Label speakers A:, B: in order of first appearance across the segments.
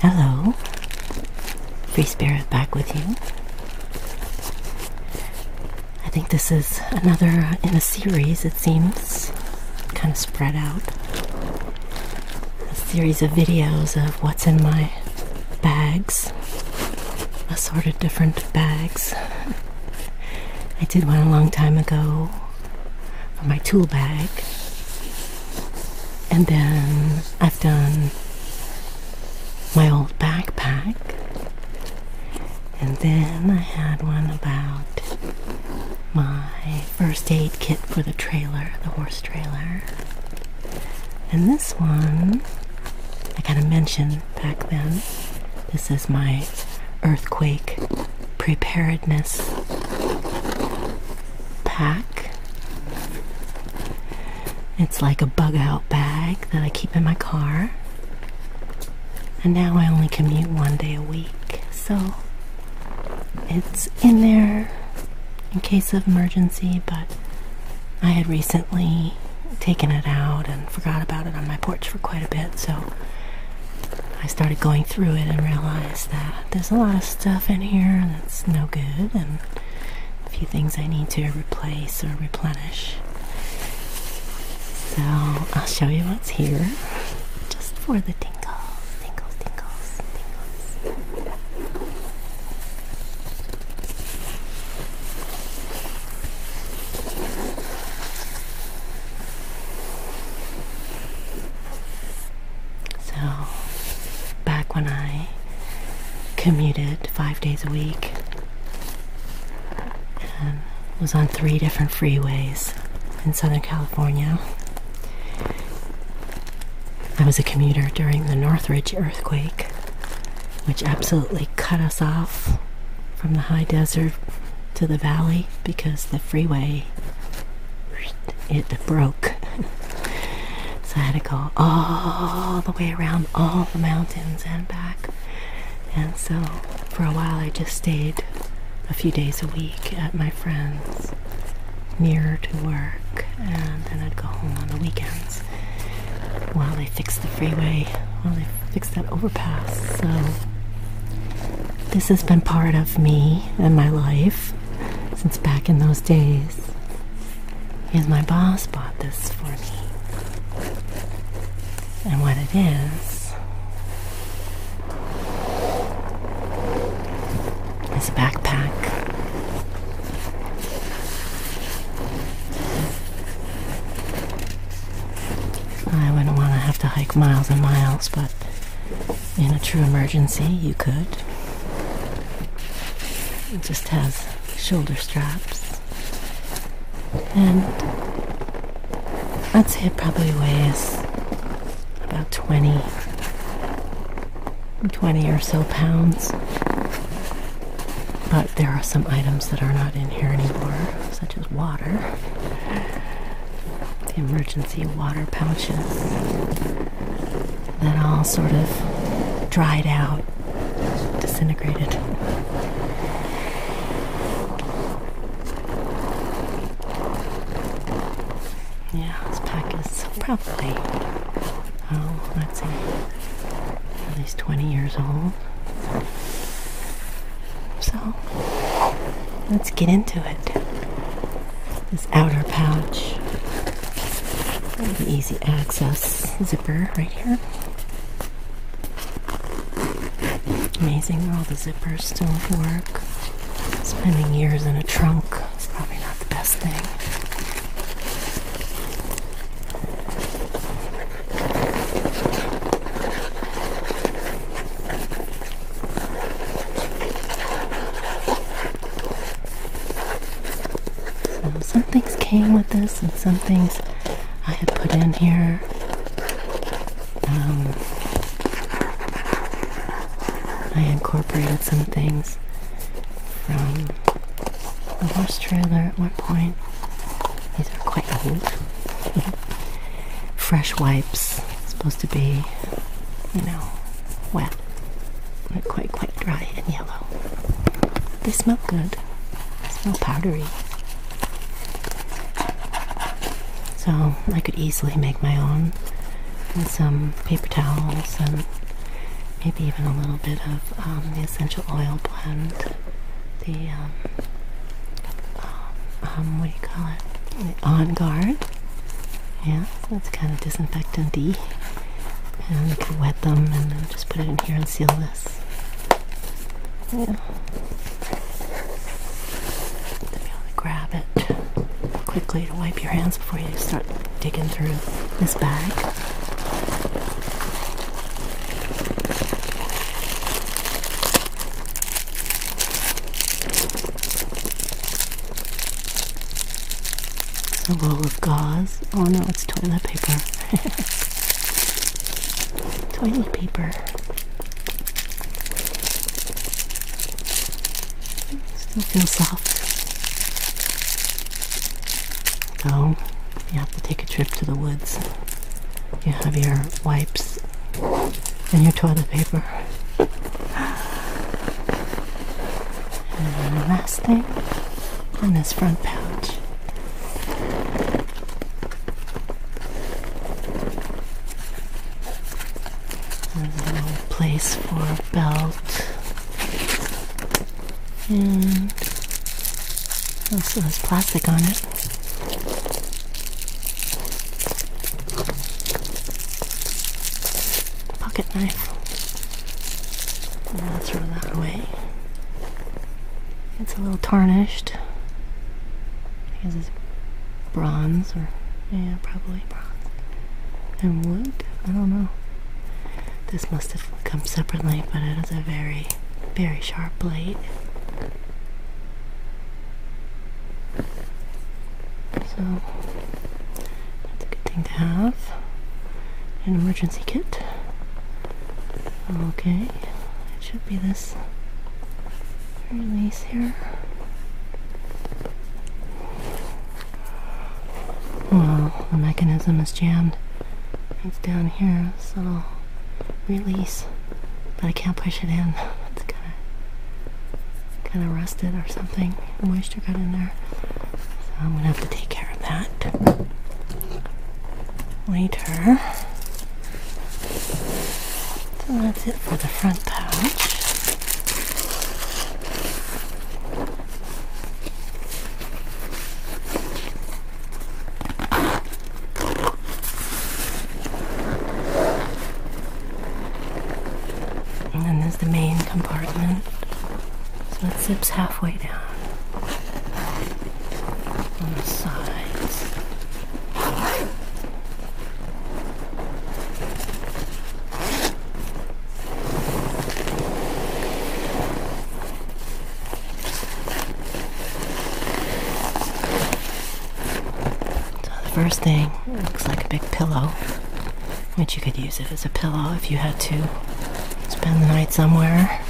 A: Hello. Free Spirit back with you. I think this is another uh, in a series, it seems, kind of spread out. A series of videos of what's in my bags, assorted different bags. I did one a long time ago for my tool bag. And then I've done my old backpack. And then I had one about my first aid kit for the trailer, the horse trailer. And this one, I kind of mentioned back then, this is my earthquake preparedness pack. It's like a bug out bag that I keep in my car. And now I only commute one day a week, so it's in there in case of emergency, but I had recently taken it out and forgot about it on my porch for quite a bit, so I started going through it and realized that there's a lot of stuff in here that's no good and a few things I need to replace or replenish. So I'll show you what's here just for the tingles, tingles, tingles, tingles. So, back when I commuted five days a week was on three different freeways in Southern California. I was a commuter during the Northridge earthquake, which absolutely cut us off from the high desert to the valley because the freeway it broke. so I had to go all the way around all the mountains and back. And so for a while I just stayed a few days a week at my friend's nearer to work, and then I'd go home on the weekends while they fixed the freeway, while they fixed that overpass. So this has been part of me and my life since back in those days. And my boss bought this for me and what it is is a backpack. I wouldn't want to have to hike miles and miles, but in a true emergency, you could. It just has shoulder straps and I'd say it probably weighs about 20, or so pounds. But there are some items that are not in here anymore, such as water, the emergency water pouches that all sort of dried out disintegrated. Yeah, this pack is probably, oh, let's see, at least 20 years old. So, let's get into it. This outer pouch, easy access zipper right here. Amazing where all the zippers still work. Spending years in a trunk is probably not the best thing. So some things came with this and some things I had put in here um, I incorporated some things from the horse trailer at one point. These are quite old. Fresh wipes, supposed to be, you know, wet. they quite, quite dry and yellow. They smell good. They smell powdery. So I could easily make my own with some paper towels and maybe even a little bit of um, the essential oil blend. The, um, um, what do you call it? on guard. Yeah, that's kind of disinfectant-y. And you can wet them and then just put it in here and seal yeah. To be able to grab it quickly to wipe your hands before you start digging through this bag. A roll of gauze. Oh no, it's toilet paper. Toilet paper. Still feels soft. Oh, you have to take a trip to the woods. You have your wipes and your toilet paper. And the last thing on this front pouch a little place for a belt. And also oh, has plastic on it. Pocket knife. And I'll throw that away. It's a little tarnished because it's bronze or yeah, probably bronze and wood. I don't know. This must have come separately, but it has a very, very sharp blade. So that's a good thing to have. An emergency kit. Okay it should be this release here. Well, the mechanism is jammed. It's down here, so i release. But I can't push it in. It's kinda kinda rusted or something. Moisture got in there. So I'm gonna have to take care of that later. So that's it for the front pouch. And then there's the main compartment. So it zips halfway down on the sides. So the first thing looks like a big pillow, which you could use it as a pillow if you had to spend the night somewhere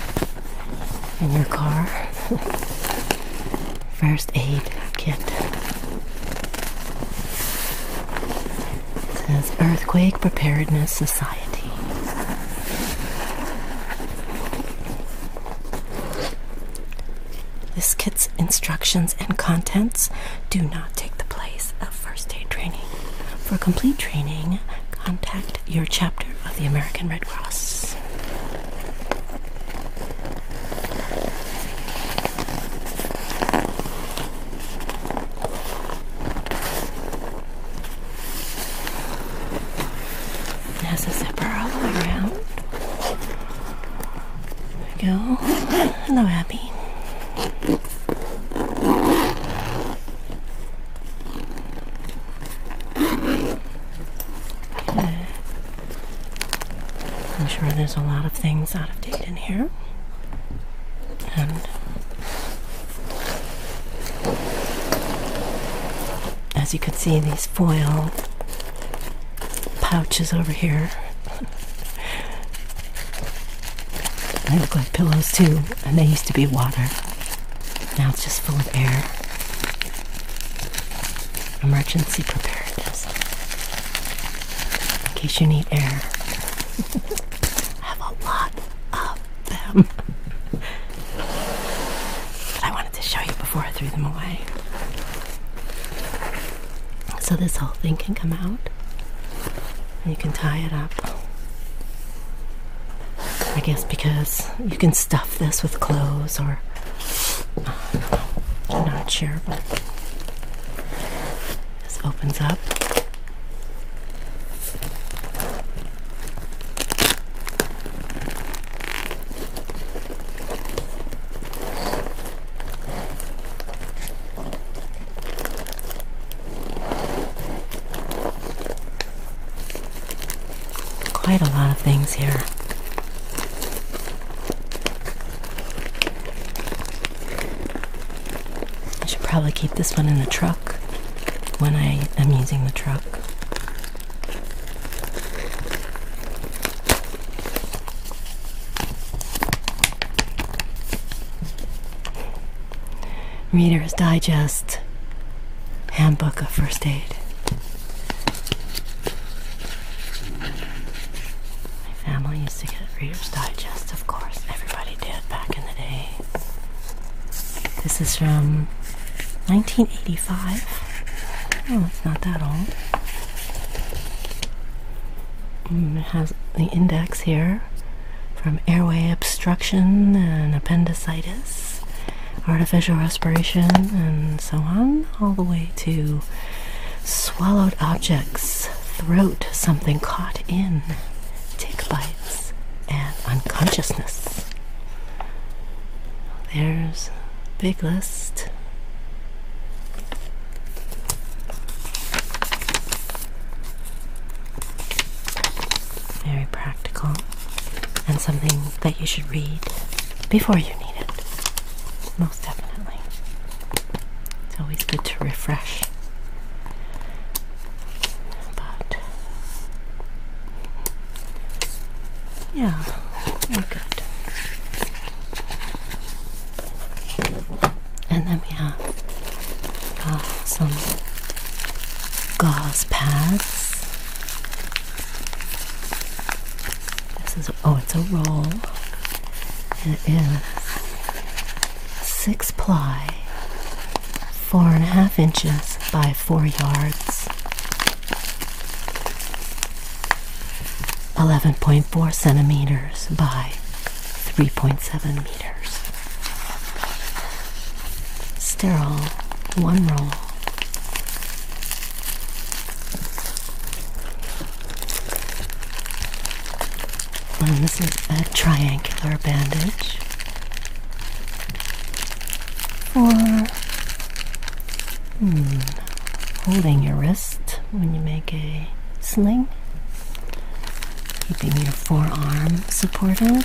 A: in your car. First aid kit. says Earthquake Preparedness Society. This kit's instructions and contents do not take the place of first aid training. For complete training, contact your chapter of the American Red Cross. It has zipper all the way around. There we go. Hello, happy. I'm sure there's a lot of things out of date in here. And as you can see, these foil pouches over here. they look like pillows too, and they used to be water. Now it's just full of air. Emergency preparedness. In case you need air. I have a lot of them. I wanted to show you before I threw them away. So this whole thing can come out. And you can tie it up. I guess because you can stuff this with clothes or. not sure, but. This opens up. Quite a lot of things here. I should probably keep this one in the truck when I am using the truck. Reader's Digest Handbook of First Aid. My family used to get Reader's Digest, of course. Everybody did back in the day. This is from 1985. Oh, it's not that old. Mm, it has the index here from airway obstruction and appendicitis, artificial respiration, and so on, all the way to swallowed objects, throat, something caught in, tick bites, and unconsciousness. There's a big list. Very practical and something that you should read before you need it. Most definitely. It's always good to refresh. But yeah, we good. And then we have Ah, some gauze pads. This is, oh, it's a roll. It is six ply, four and a half inches by four yards. 11.4 centimeters by 3.7 Sterile one roll. And this is a triangular bandage or, hmm, holding your wrist when you make a sling. Keeping your forearm supported,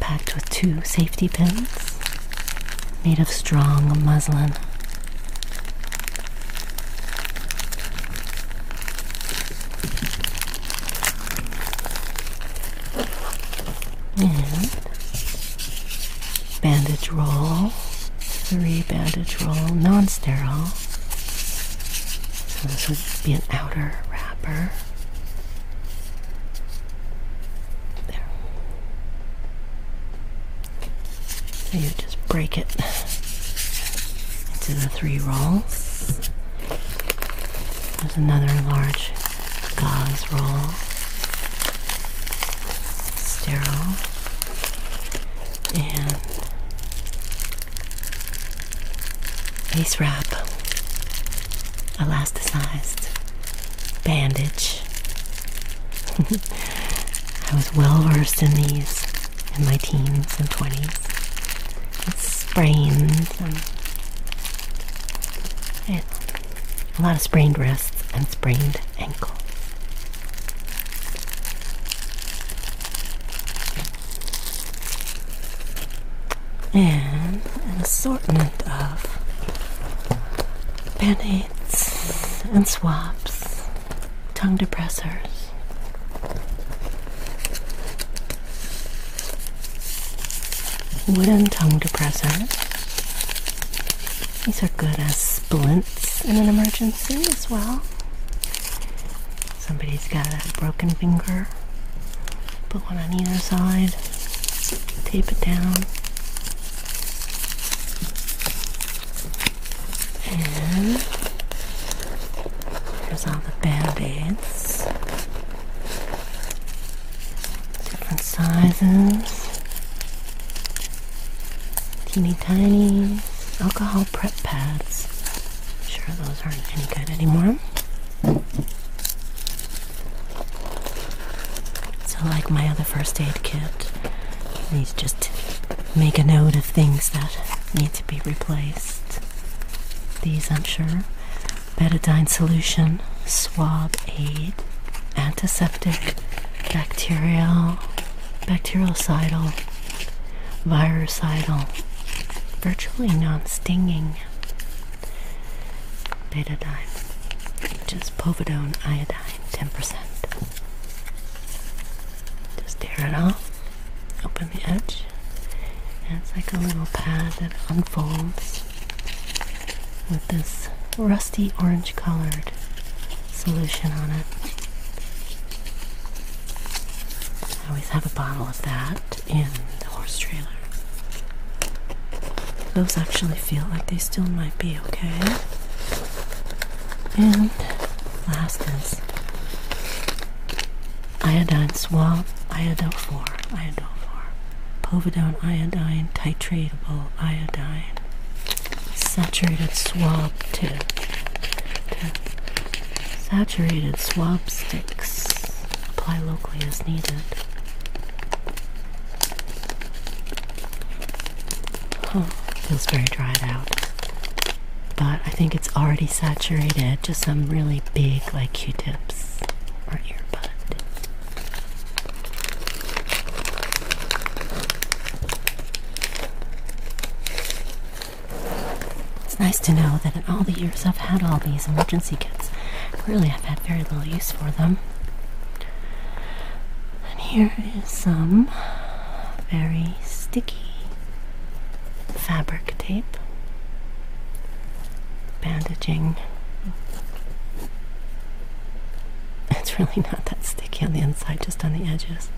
A: packed with two safety pins made of strong muslin. And bandage roll, three bandage roll, non sterile. So this would be an outer wrapper. There. So you just break it into the three rolls. There's another large gauze roll, sterile, and Ace wrap, elasticized, bandage. I was well versed in these in my teens and 20s. It's sprains a lot of sprained wrists and sprained ankles and an assortment of band and swabs, tongue depressors. Wooden tongue depressors. These are good as splints in an emergency as well. Somebody's got a broken finger. Put one on either side. Tape it down. And there's all the band-aids. Different sizes. Teeny tiny alcohol prep pads. I'm sure those aren't any good anymore. So, like my other first aid kit, these just make a note of things that need to be replaced. These, I'm sure. Betadine solution, swab aid, antiseptic, bacterial, bactericidal, virucidal, virtually non-stinging betadine, Just is povidone iodine, 10%. Just tear it off, open the edge, and it's like a little pad that unfolds with this rusty orange colored solution on it. I always have a bottle of that in the horse trailer. Those actually feel like they still might be okay. And last is iodine swab, iodo4, iodo4, povidone iodine, titratable iodine, saturated swab two, to Saturated swab sticks. Apply locally as needed. Huh, feels very dried out. But I think it's already saturated Just some really big, like q tips or earbud. It's nice to know that in all the years I've had all these emergency kits, really I've had very little use for them. And here is some very sticky fabric tape bandaging. It's really not that sticky sticky on the inside, just on the edges.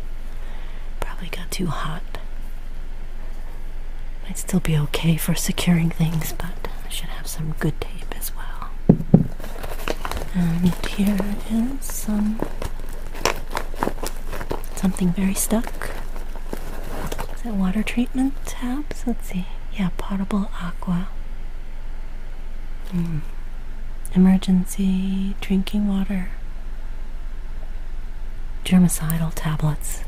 A: Probably got too hot. Might still be okay for securing things, but I should have some good tape as well. And here is some something very stuck. Is that water treatment tabs? Let's see. Yeah, potable aqua. Hmm. Emergency drinking water germicidal tablets.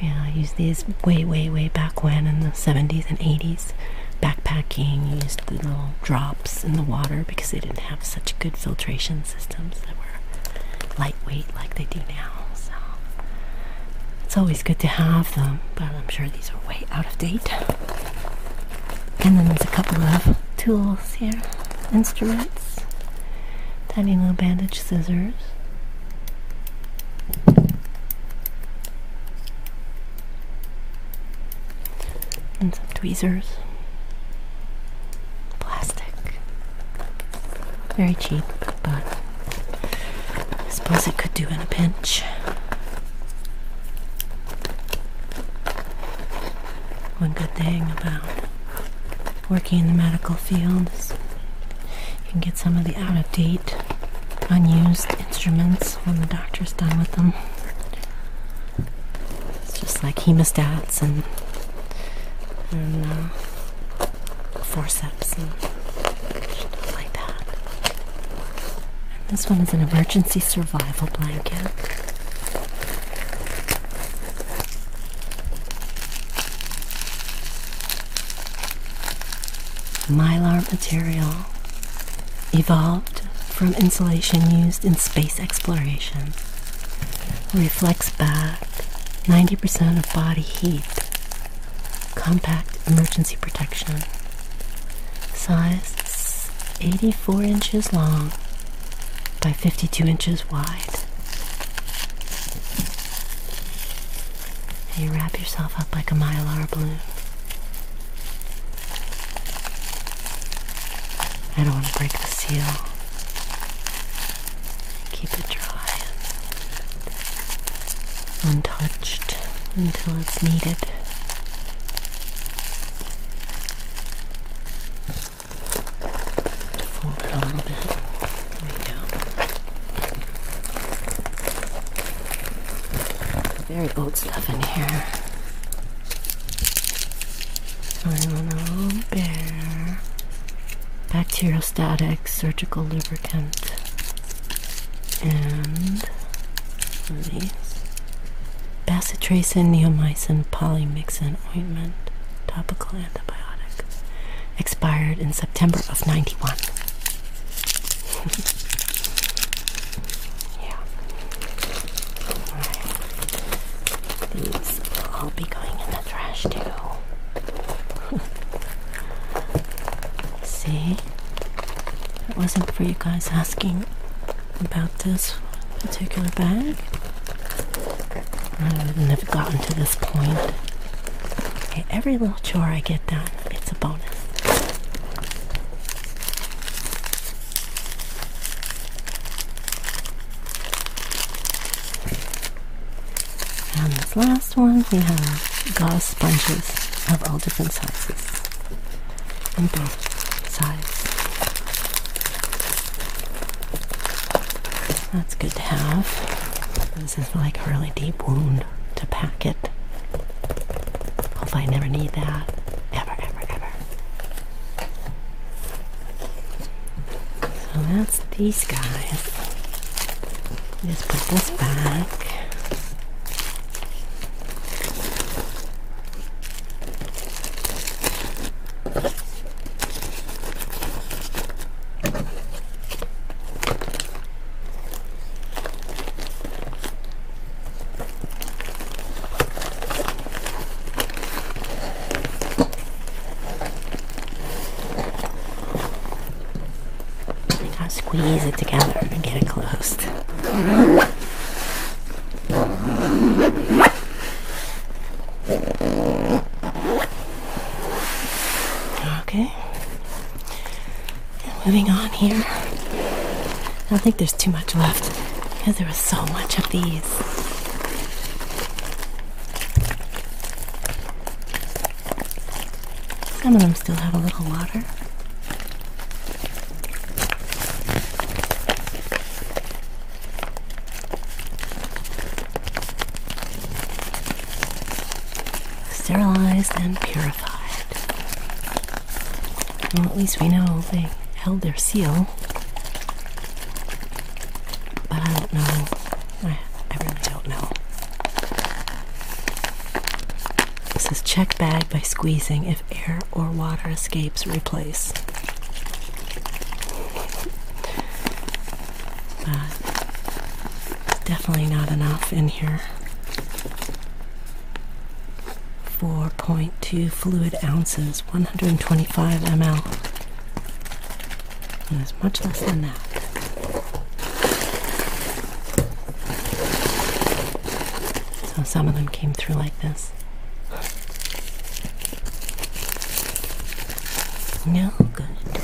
A: Yeah, I used these way, way, way back when in the 70s and 80s. Backpacking used the little drops in the water because they didn't have such good filtration systems that were lightweight like they do now. So it's always good to have them, but I'm sure these are way out of date. And then there's a couple of tools here, instruments, tiny little bandage scissors. And some tweezers. Plastic. Very cheap, but I suppose it could do in a pinch. One good thing about working in the medical field is you can get some of the out of date, unused instruments when the doctor's done with them. It's just like hemostats and, and uh, forceps and like that. this one is an emergency survival blanket. Mylar material evolved from insulation used in space exploration reflects back 90% of body heat. Compact emergency protection. Size 84 inches long by 52 inches wide. And you wrap yourself up like a mylar balloon. I don't want to break the seal. Keep it dry untouched until it's needed. Very old stuff in here. little bear. Bacteriostatic surgical lubricant. And these bacitracin, neomycin, polymixin ointment, topical antibiotic, expired in September of 91. yeah. These will all be going in the trash too. See? It wasn't for you guys asking about this particular bag. I would have never gotten to this point. every little chore I get done, it's a bonus. And this last one, we have gauze sponges of all different sizes. On both sides. That's good to have. This is like a really deep wound to pack it. Hopefully, I never need that. Ever, ever, ever. So that's these guys. Just put this back. I gotta Squeeze it together and get it closed. Okay. Moving on here. I don't think there's too much left because there was so much of these. Some of them still have a little water. Sterilized and purified. Well, at least we know they held their seal. But I don't know. I, really don't know. This is check bag by squeezing if air or water escapes, replace. definitely not enough in here. 4.2 fluid ounces, 125 ml. And it's much less than that. So some of them came through like this. No good.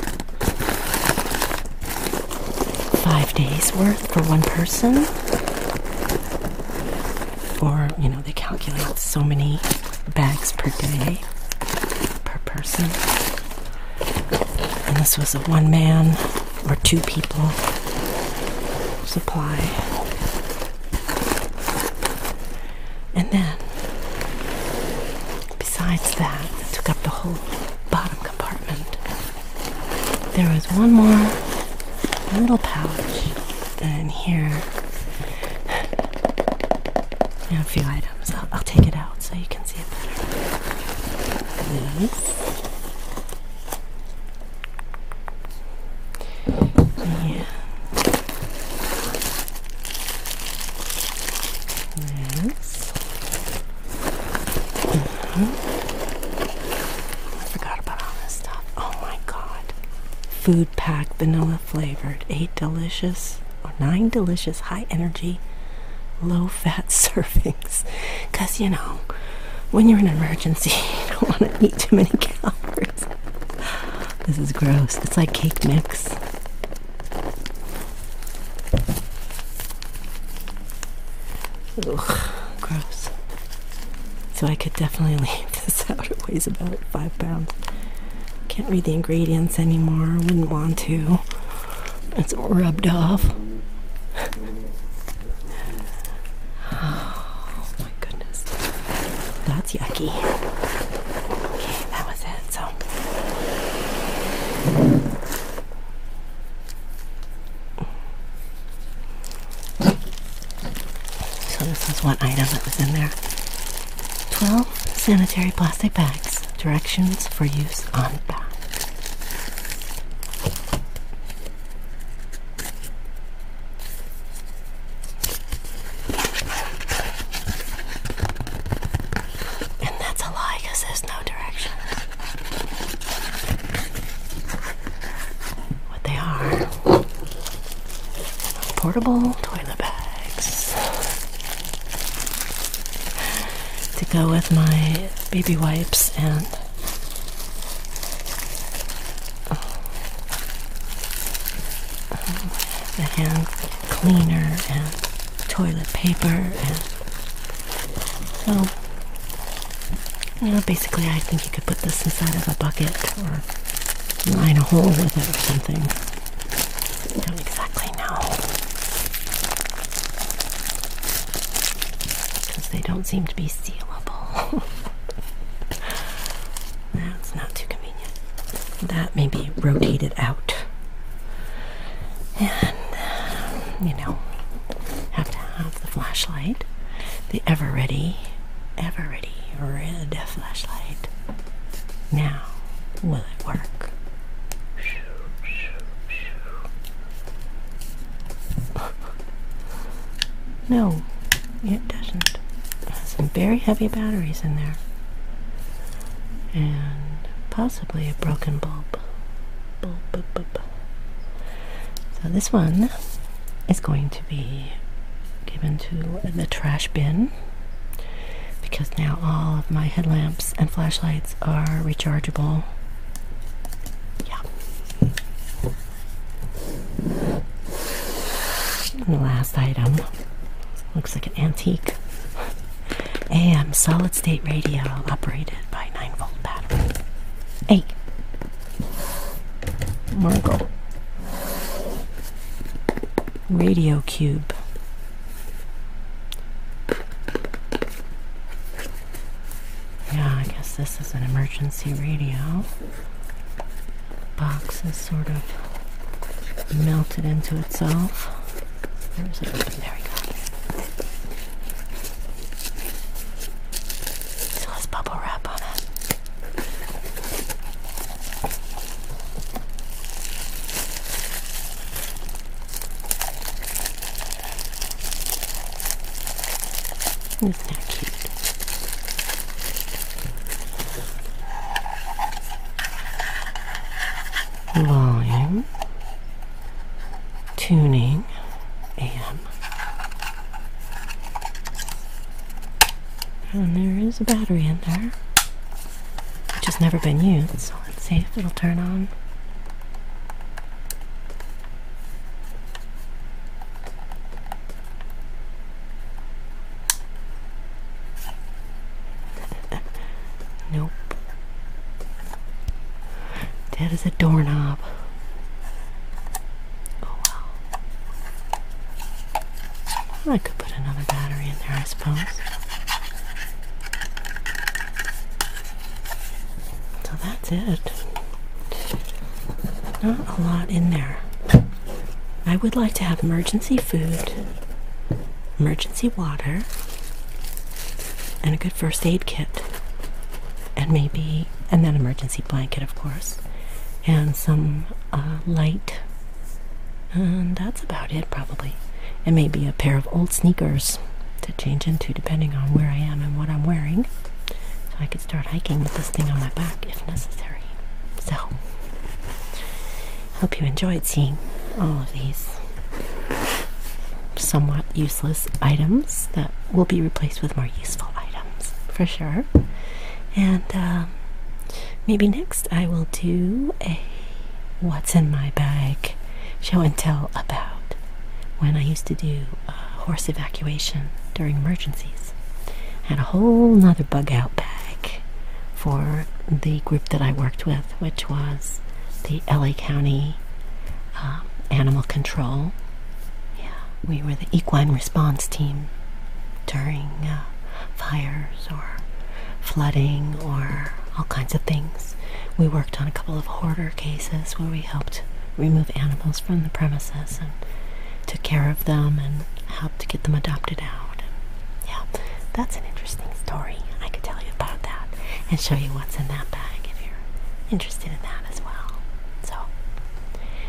A: Five days worth for one person? Or, you know, they calculate so many bags per day, per person. And this was a one man or two people supply. And then, besides that, I took up the whole bottom compartment. There was one more little pouch in here. a few items. I'll, I'll take it out so you can see it better. These. Yeah. Yes. Mm uh-huh. I forgot about all this stuff. Oh my god. Food pack vanilla flavored. Eight delicious or nine delicious high energy, low fat servings. Because you know, when you're in an emergency, you don't want to eat too many calories. This is gross. It's like cake mix. Ugh, gross. So I could definitely leave this out. It weighs about five pounds. Can't read the ingredients anymore. Wouldn't want to. It's rubbed off. Oh my goodness. That's yucky. Okay, that was it. So So this was one item that was in there. 12 sanitary plastic bags. Directions for use on back. And that's a lie there's no direction. What they are portable toilet bags to go with my baby wipes and the hand cleaner and toilet paper and so you know basically I think you could put this inside of a bucket or line a hole with it or something. I don't exactly know because they don't seem to be sealable. That's not too convenient. That may be rotated out. And, um, you know, have to have the flashlight, the ever ready, ever ready red flashlight. Now, will it work? No, it doesn't. It has some very heavy batteries in there. And possibly a broken bulb. bulb. So this one is going to be given to the trash bin because now all of my headlamps and flashlights are rechargeable. Yeah the last item looks like an antique AM solid state radio operated by 9 volt battery. Eight, Margot. Radio cube. Yeah, I guess this is an emergency radio. Box is sort of melted into itself. Where is it? There we go. So let bubble wrap on it. Volume, tuning, AM. And there is a battery in there, which has never been used, so let's see if it'll turn on. nope. That is a doorknob. Oh well. I could put another battery in there, I suppose. So that's it. Not a lot in there. I would like to have emergency food, emergency water, and a good first aid kit, and maybe, and then emergency blanket, of course, and some uh, light. And that's about it, probably. And maybe a pair of old sneakers to change into, depending on where I am and what I'm wearing so I could start hiking with this thing on my back if necessary. So, hope you enjoyed seeing all of these somewhat useless items that will be replaced with more useful items for sure. And um, maybe next I will do a what's in my bag show and tell about when I used to do uh, horse evacuation during emergencies. I had a whole nother bug out bag for the group that I worked with, which was the LA County um, Animal Control. Yeah, we were the equine response team during uh, fires or flooding or all kinds of things. We worked on a couple of hoarders cases where we helped remove animals from the premises and took care of them and helped get them adopted out. yeah, that's an interesting story. I could tell you about that and show you what's in that bag if you're interested in that as well. So,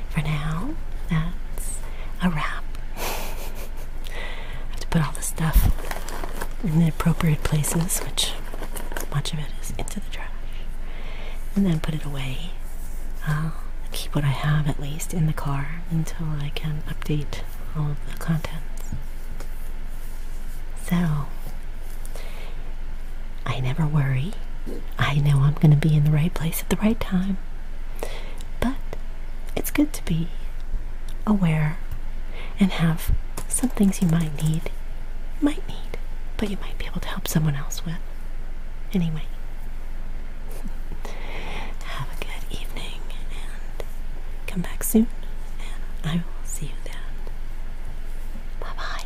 A: for now, that's a wrap. I have to put all the stuff in the appropriate places, which much of it is into the trash. And then put it away. I'll keep what I have at least in the car until I can update all the contents. So, I never worry. I know I'm going to be in the right place at the right time. But it's good to be aware and have some things you might need, might need, but you might be able to help someone else with. Anyway, have a good evening and come back soon, and I will see you then. Bye bye.